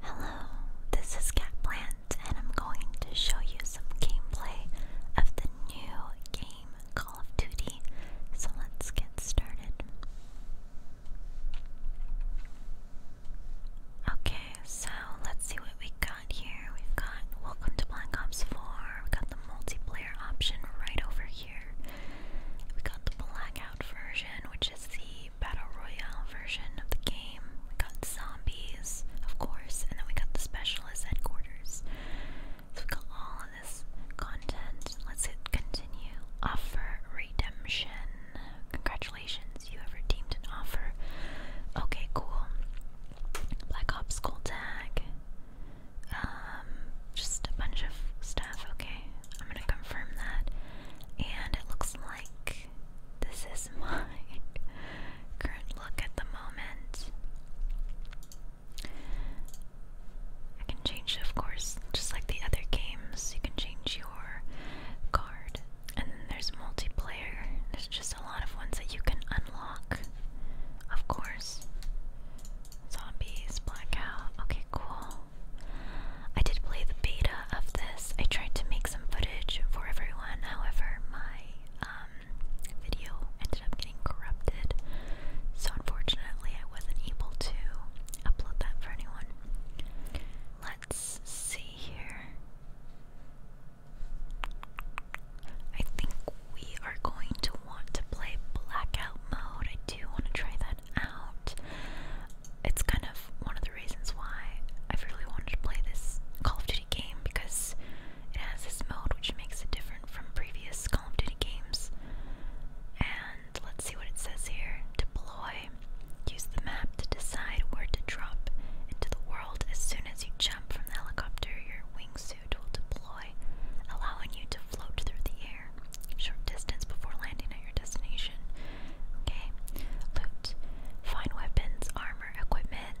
Hello, this is Catplant, and I'm going to show you some gameplay of the new game Call of Duty. So let's get started. Okay, so let's see what we got here. We've got Welcome to Black Ops 4, we've got the multiplayer option right over here. We got the blackout version, which is the Battle Royale version of the game. We got zombies, of course, and then we got the specialist headquarters. So we got all of this content. Let's hit continue. Offer redemption. Congratulations, you have redeemed an offer. Okay, cool. Black Ops Gold Tag. Um, just a bunch of stuff. Okay, I'm gonna confirm that. And it looks like this is my current look at the moment. I can change, of course, just like the other games, you can change your card. And then there's multiplayer, there's just a lot of ones that you can unlock, of course. Zombies, blackout, okay, cool. I did play the beta of this. I tried to make some footage for everyone, however, my um, video ended up getting corrupted, so unfortunately, I wasn't able to upload that for anyone. Let's see here. I think we are going to want to play blackout mode. I do want to try that out it's kind of one of the reasons why I've really wanted to play this Call of Duty game because it has this mode which makes it different from previous Call of Duty games. And let's see what it says here. Deploy. Use the map to decide where to drop into the world. As soon as you jump from the helicopter, your wingsuit will deploy, allowing you to float through the air. Short distance before landing at your destination. Okay. Loot. Find weapons, armor, equipment,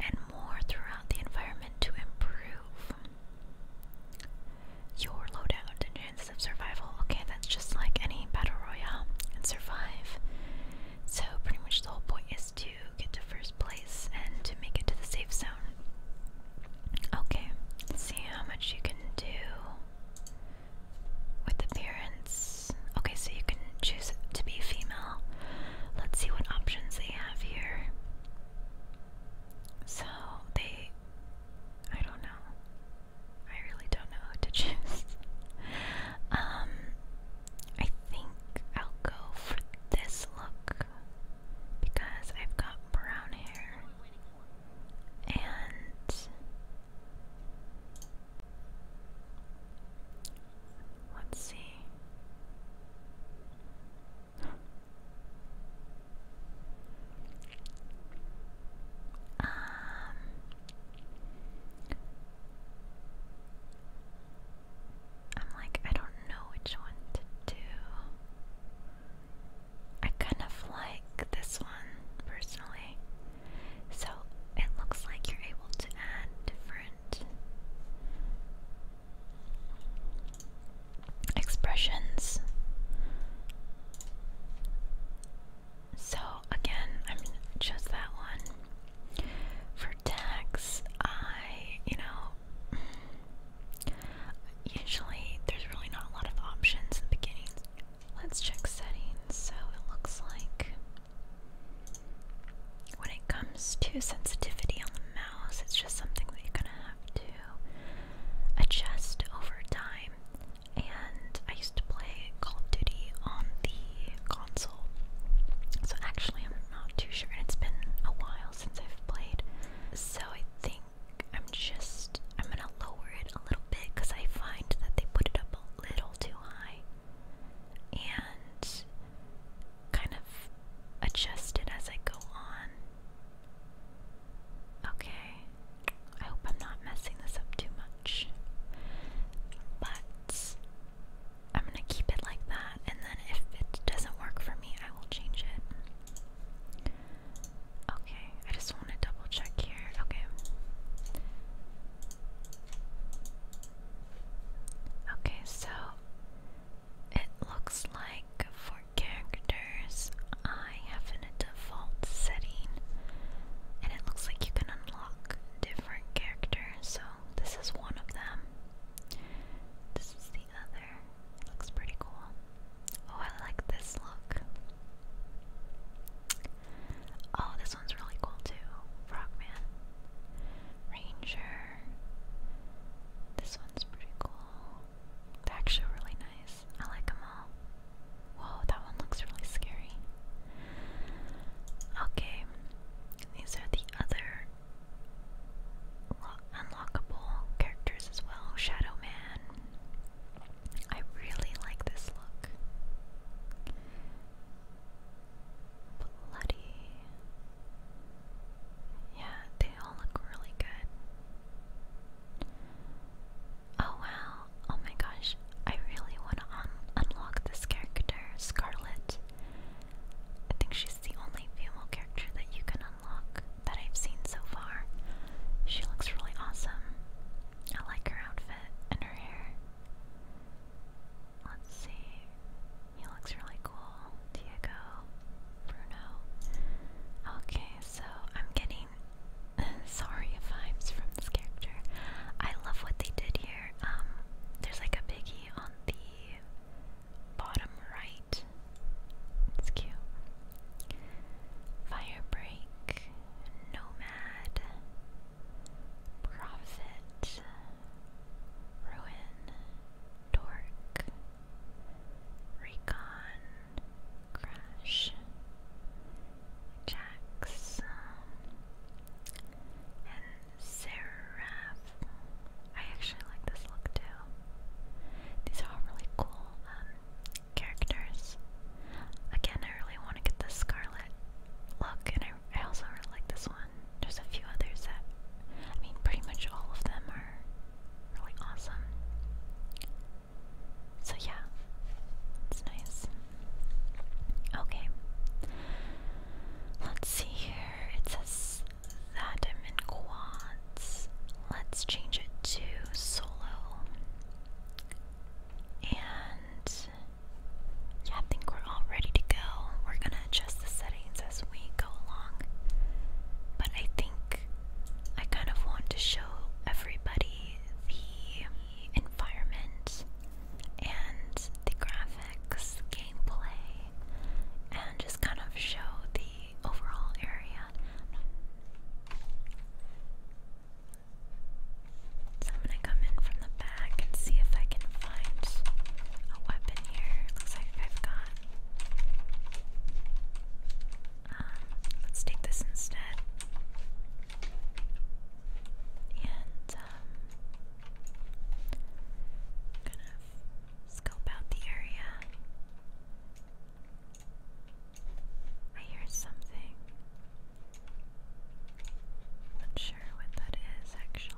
and more throughout the environment to improve your loadout and chances of survival. Okay, that's just like any battle royale and survive. So pretty much the whole point is to get to first place and to make it to the safe zone. Okay, see how much you can do. With appearance. Okay, so you can choose to be female. Let's see what options they have here. So they. I don't know. I really don't know who to choose. um, I think I'll go for this look because I've got brown hair. And let's see. Um, I'm like, I don't know which one to do. I kind of like this one personally. So it looks like you're able to add different expressions. So again, I mean, just that one. For tags, I, you know, usually there's really not a lot of options in the beginning. Let's check settings. So it looks like when it comes to sensitivity on the mouse, it's just something that you're gonna have to adjust over time. And I used to play Call of Duty on the console, so actually I'm not too sure. And it's been a while since I've played, so I think I'm just, I'm gonna lower it a little bit because I find that they put it up a little too high and kind of adjust it as I go on. Okay, I hope I'm not messing this up too much, but I'm gonna keep it like that and then if it doesn't work for me, I will change it. Okay, I just want to double check here. Okay. Okay, so it looks like for characters, I have a default setting, and it looks like you can unlock different characters. So this is one of them. This is the other better. looks pretty cool. Oh, I like this look. Oh, this one's really cool too. Frogman. Ranger. This one's pretty cool. actually really nice. I like them all. Whoa, that one looks really scary. Okay, these are the other unlockable characters as well. Shadow Man, I really like this look. Bloody. Yeah, they all look really good. Oh wow, oh my gosh, I really want to unlock this character, Scarlet. I think she's the only female character that you can that I've seen so far. She looks really awesome. I like her outfit and her hair. Let's see. He looks really cool. Diego. Bruno. Okay, so I'm getting sorry vibes from this character. I love what they did here. Um, there's like a biggie on the bottom right it's cute. Firebreak, Nomad, Prophet, Ruin, Dork, Recon, Crash, Jax, and Seraph. I actually like this look too. These are all really cool um, characters. Again, I really want to get this Scarlet look, and I, also really like this one. There's a few others that, I mean, pretty much all of them are really awesome. So, yeah, it's nice. Okay, let's see here. It says that I'm in Guan let's change it to solo. And yeah, I think we're all ready to go. We're gonna adjust the settings as we go along. But I think I kind of want to show everybody the environment and the graphics, gameplay, and just kind of show the overall area bad. No. So I'm gonna come in from the back and see if I can find a weapon here. Looks like I've got. Um, let's take this instead. And um, i scope out the area. I hear something. Not sure what that is actually.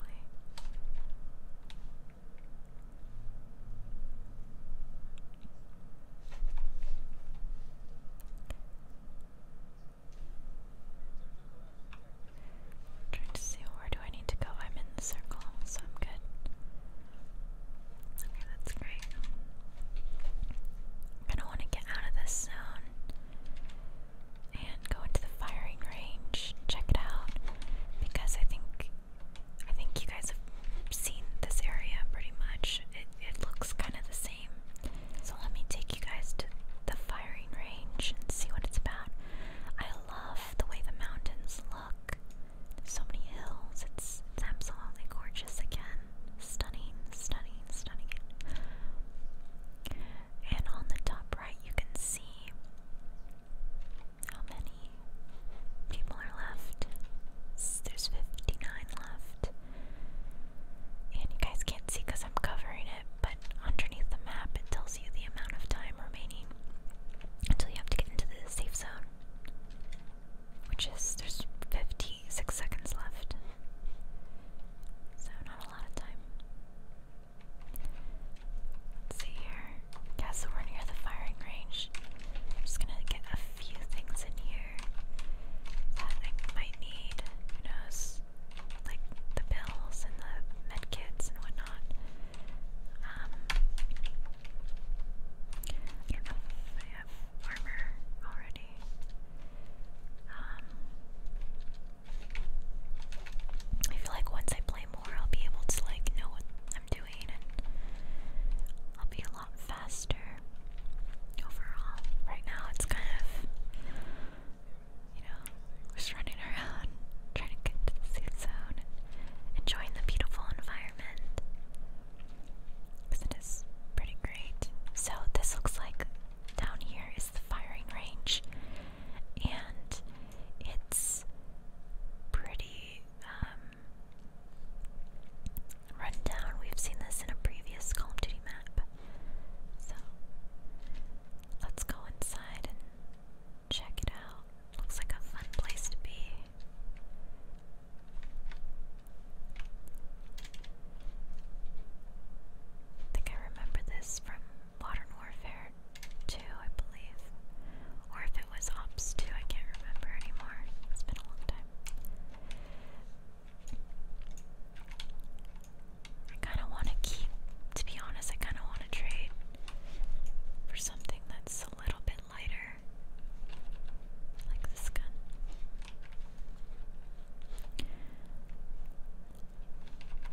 trying to see where do I need to go. I'm in the circle, so I'm good. Okay, that's great. I'm gonna want to get out of this zone and go into the firing range, check it out, because I think I think you guys have seen this area pretty much. It it looks kind of the same. So let me take you guys to the firing range and see what it's about. I love the way the mountains look so many hills. It's absolutely gorgeous again. Stunning, stunning, stunning. And on the top right you can see how many people are left. There's 59 left. And you guys can't see because I'm covering it, but underneath the map it tells you the amount of time remaining until you have to get into the safe zone. Which is, there's 56 seconds left. So, not a lot of time. see here. Yeah, so we're near the firing range. I'm just gonna get a few things in here that I might need. Who knows? Like the pills and the medkits and whatnot. Um, I have armor already. I feel like once I play more, I'll be able to like know what I'm doing, and I'll be a lot faster overall. Right now, it's kind of you know just running around trying to get to the safe zone enjoying the beautiful environment. Because it is pretty great. So, this looks like down here is the firing range, and it's pretty um, We've seen this in a previous Call of Duty map. So, let's go inside Check it out. Looks like a fun place to be. think I remember this from Modern Warfare 2, I believe. Or if it was Ops 2, I can't remember anymore. It's been a long time. I kind of want to keep, to be honest, I kind of want to trade for something that's a little bit lighter, like this gun.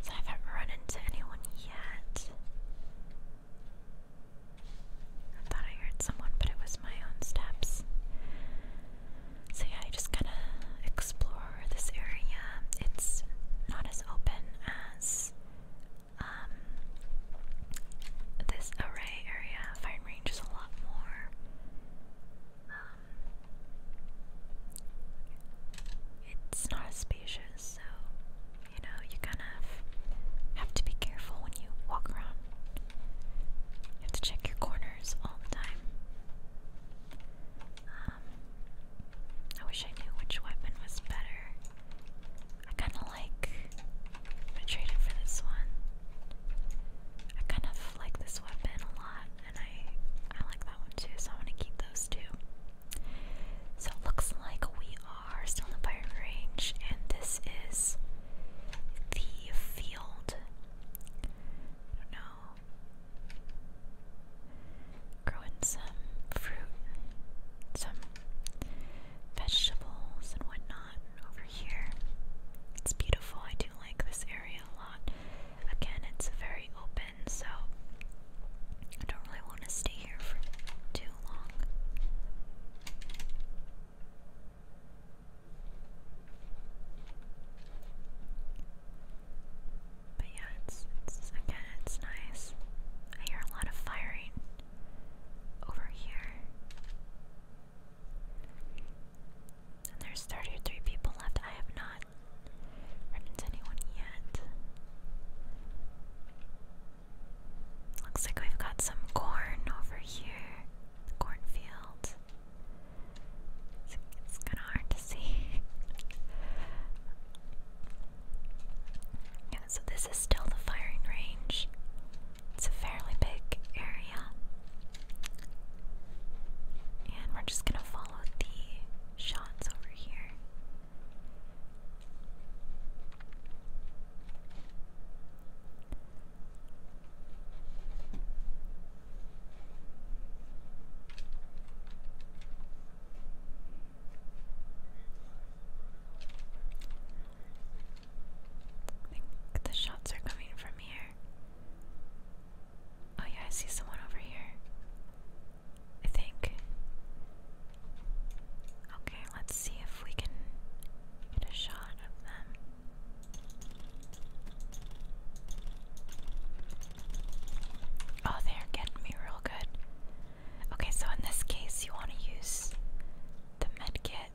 I haven't run into anyone yet. I thought I heard someone, but it was my own steps. So yeah, I just kind of explore this area. It's not as open as um, this array area, fine range is a lot more. Um, it's not as spacious, so you know you kind of have to be careful when you walk around. You have to check your corners all the time. Um, I wish I knew which weapon was better. I kind of like. I'm gonna for this one. I kind of like this weapon a lot, and I I like that one too. So I want to keep those two. So it looks like we are still in the firing range, and this is the field. I don't know. Growing some fruit some vegetables and whatnot over here. It's beautiful. I do like this area a lot. Again, it's very open, so I don't really want to stay here for too long. But yeah, it's, it's again, it's nice. I hear a lot of firing over here. there's 33 people left. I have not run anyone yet. Looks like we've got some corn over here. cornfield. it's kind of hard to see. Yeah, so this is still the firing range. It's a fairly big area. And we're just gonna follow the shots over here. I think the shots are coming from here. Oh, yeah, I see someone over here. I think. Okay, let's see if we can get a shot of them. Oh, they're getting me real good. Okay, so in this case, you want to use the med kit.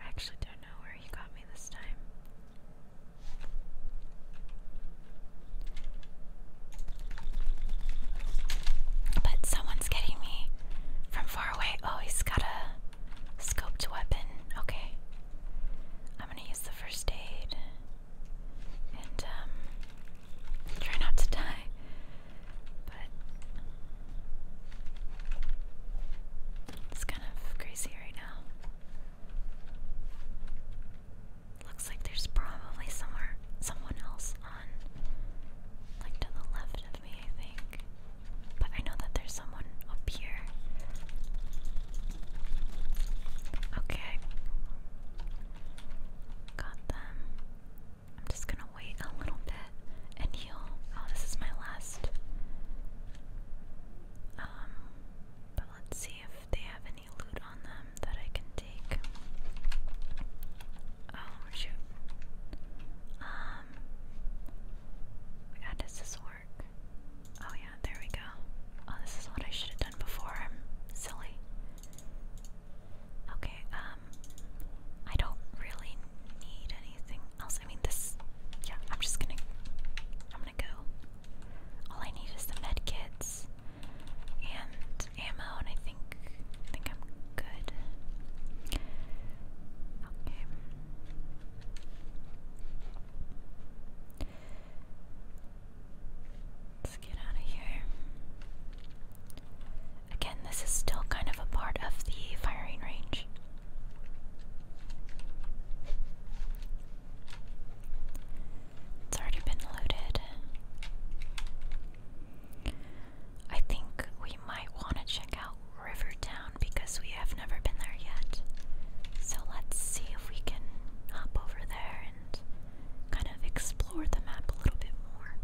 I actually don't know where he got me this time. But someone's getting me from far away. Oh, he's got a scoped weapon. Okay. I'm gonna use the first aid and um, try not to die. But it's kind of crazy right now. Looks like there's probably somewhere someone else on, like to the left of me, I think. But I know that there's someone up here. Okay. Got them. I'm just gonna wait a little bit and heal. Oh, this is my last. Um, but let's see if they have any loot on them that I can take. Oh, shoot. Um, how does this work? Oh yeah, there we go. Oh, this is what I should have done before. I'm silly. Okay, um, I don't really need anything else. I mean, this, yeah, I'm just gonna, I'm gonna go. All I need is the med kits and ammo, and I think I'm good. Okay. Let's get out of here. Again, this is still kind of a part of the firing range. It's already been loaded. I think we might want to check out River Rivertown because we have never been there yet. So let's see if we can hop over there and kind of explore the map a little bit more.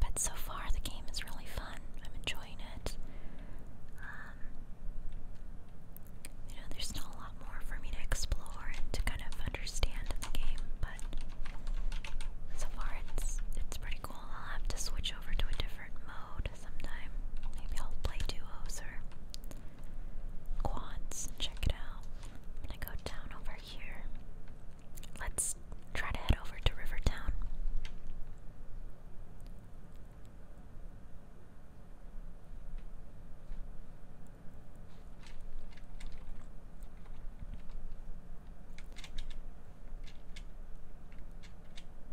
But so far, the game is really fun. I'm enjoying it. Um, you know, there's still a lot more for me to explore and to kind of understand the game, but so far it's it's pretty cool. I'll have to switch over to a different mode sometime. Maybe I'll play duos or quads check it out. gonna go down over here. Let's try to head over to River Town.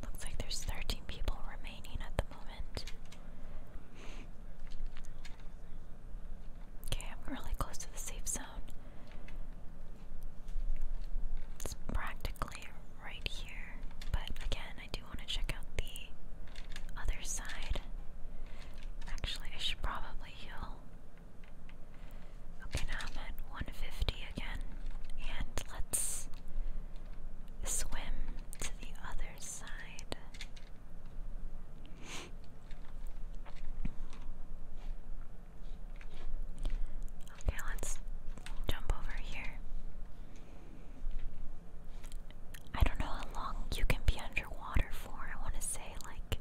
Looks like there's 13 people remaining at the moment. Okay, I'm really close to the safe zone. It's practically right here, but again, I do want to check out the other side. Actually, I should probably heal. Okay, now I'm at 150 again, and let's swim to the other side. Okay, let's jump over here. I don't know how long you can be on underwater for. I want to say like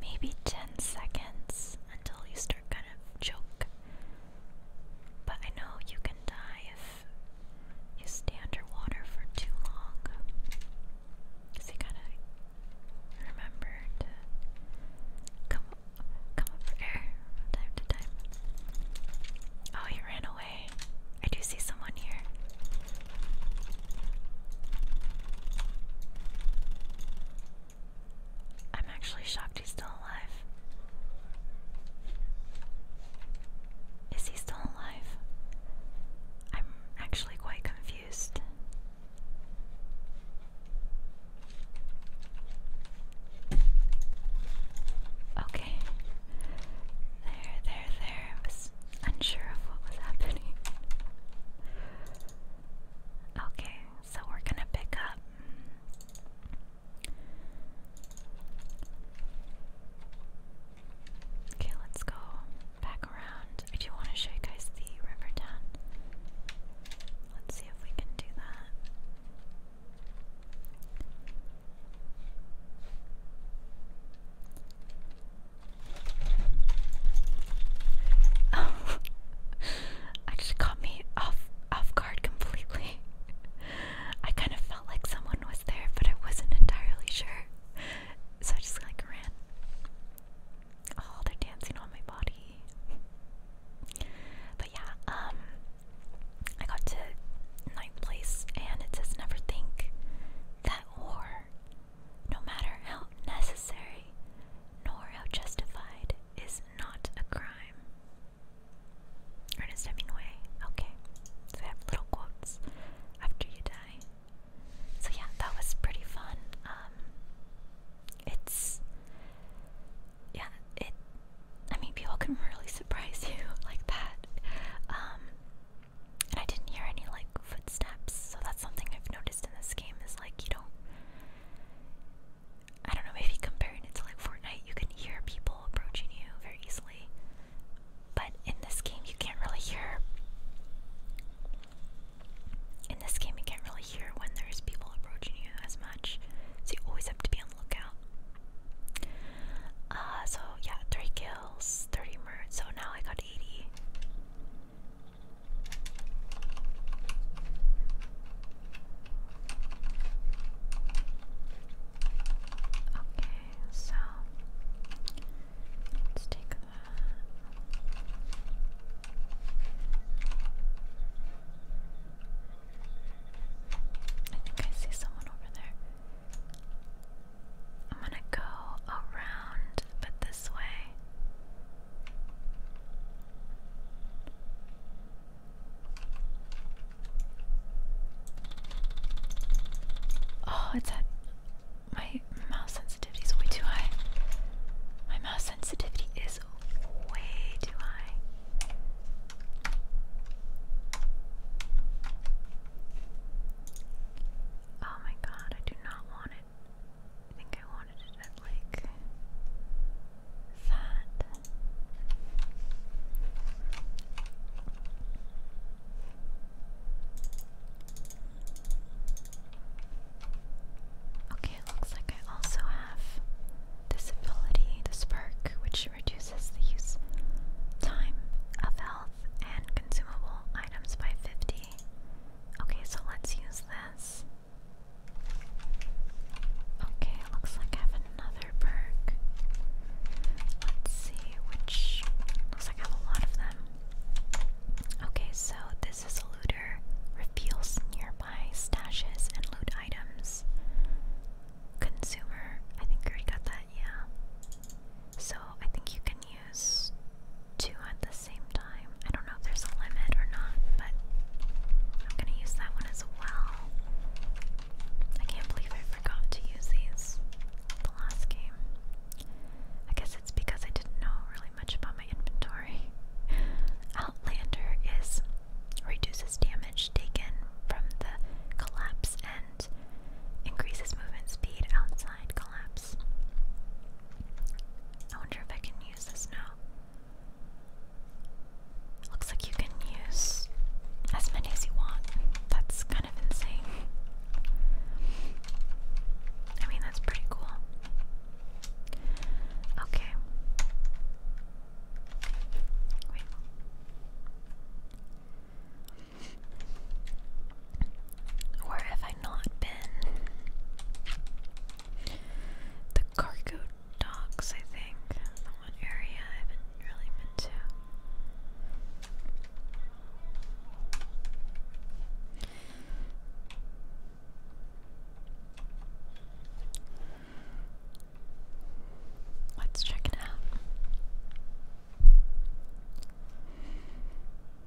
maybe 10 seconds until you start kind of choke. But I know you can die if you stay underwater for too long. Cause you gotta remember to come come up for air from time to time. Oh, he ran away. I do see someone here. I'm actually shocked he's still alive. Is he still alive? I'm actually quite confused. Okay. There, there, there was unsure of what was happening. Okay, so we're gonna pick up. Okay, let's go back around. I do want to show you guys the river town. Let's see if we can do that. I just caught me off off guard completely. I kind of felt like someone was there, but I wasn't entirely sure. So I just like ran. Oh, they're dancing on my body. But yeah, um I got to ninth place and it says never think that war no matter how necessary nor how justified, is not a crime. Ernest Hemingway. Okay, so I have little quotes after you die. So yeah, that was pretty fun. Um, it's yeah, it. I mean, people can really surprise you like that. Um, and I didn't hear any like footsteps. So that's something I've noticed in this game is like you don't. I don't know. if you compare it to like Fortnite, you can hear people approaching you very easily, but in this game you can't really hear. In this game, you can't really hear when there's people approaching you as much, so you always have to be on the lookout. Uh, so yeah, three kills, thirty murders. So now I got 180. Okay, so let's take I think I see someone over there. I'm gonna go around, but this way. Oh, it's at my mouse sensitivity is way too high. My mouse sensitivity is way too high. Oh my god, I do not want it. I think I wanted it at like that. Okay, it looks like I also have this ability, this perk, which reduces the use time of and consumable items by 50. Okay, so let's use this. Okay, looks like I have another perk. Let's see which. Looks like I have a lot of them. Okay, so this is a looter. Reveals nearby stashes and loot items. Consumer. I think I got that, yeah. So I think you can use two at the same time. I don't know if there's a limit or not, but I'm gonna use that one as well. I can't believe I forgot to use these the last game. I guess it's because I didn't know really much about my inventory. Outlander is reduces damage taken from the collapse increases movement speed outside collapse. I wonder if I can use this now. Looks like you can use as many as you want. That's kind of insane. I mean, that's pretty cool. Okay. Wait. Where have I not been? The cargo docks, I think. The one area I haven't really been to. Let's check it out.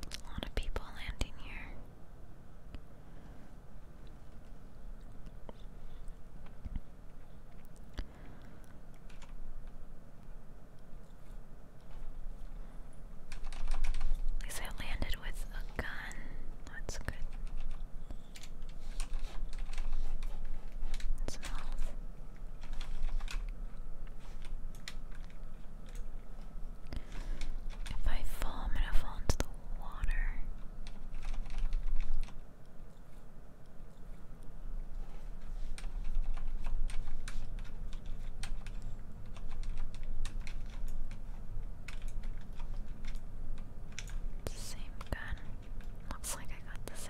A lot of people landing here. At least I landed with a gun. That's good. If I fall, I'm gonna fall into the water. Same gun. Looks like I got the same.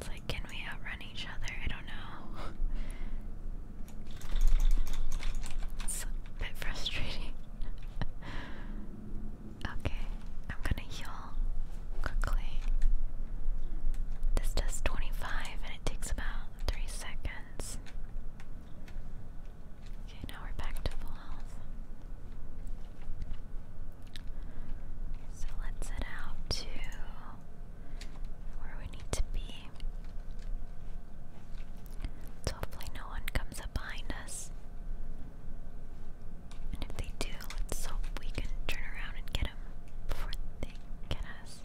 It's like, can we outrun each other? I don't know. it's a bit frustrating. okay, I'm gonna heal quickly. This does 25 and it takes about 3 seconds. Okay, now we're back to full health. So let's head out to where we need to be. So hopefully no one comes up behind us. And if they do, let we can turn around and get them before they get us.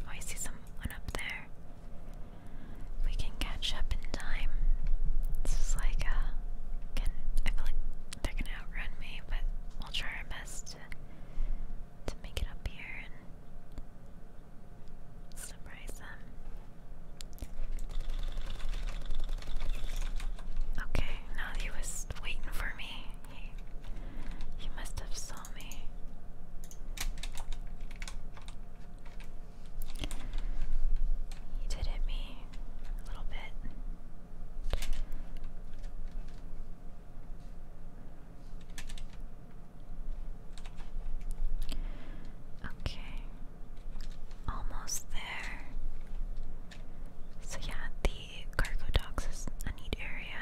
Oh, I see someone up there we can catch up in time. It's like, uh, I feel like they're gonna outrun me, but we'll try our best to, make it up here and surprise them. Okay, now he was waiting for me. he must have saw me. He did hit me a little bit. Okay. Almost there. So yeah, the cargo docks is a neat area.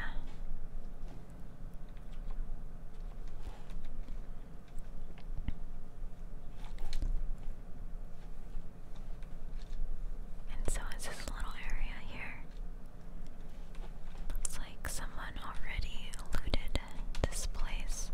And so is this little area here. Looks like someone already looted this place.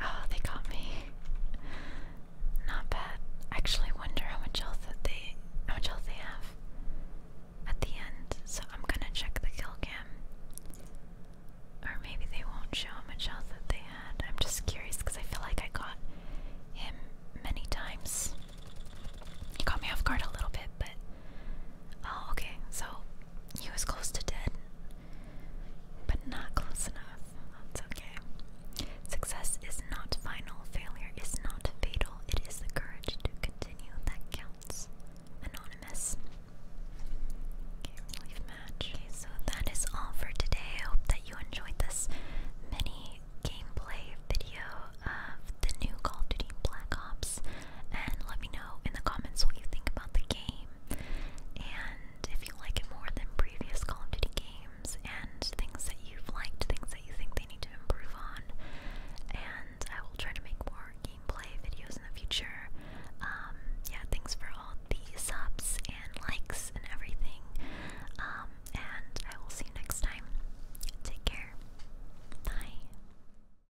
Oh, they got me. Not bad. I actually wonder how much health they how much health they have at the end. So I'm gonna check the kill cam. Or maybe they won't show how much health they had. I'm just curious because I feel like I got him many times. He caught me off guard a little bit, but Oh, okay, so he was close to dead, but not close enough. That's okay. Success is not final, failure is not fatal. It is the courage to continue that counts. Anonymous. Okay, leave match. Okay, so that is all for today. hope that you enjoyed this mini gameplay video of the new Call of Duty Black Ops and let me know in the comments what you think about the game and if you like it more than previous Call of Duty games and things that you've liked, things that you think they need to improve on. And I will try to make more gameplay videos in the future. Um, yeah, thanks for all the subs and likes and everything. Um, and I will see you next time. Take care. Bye.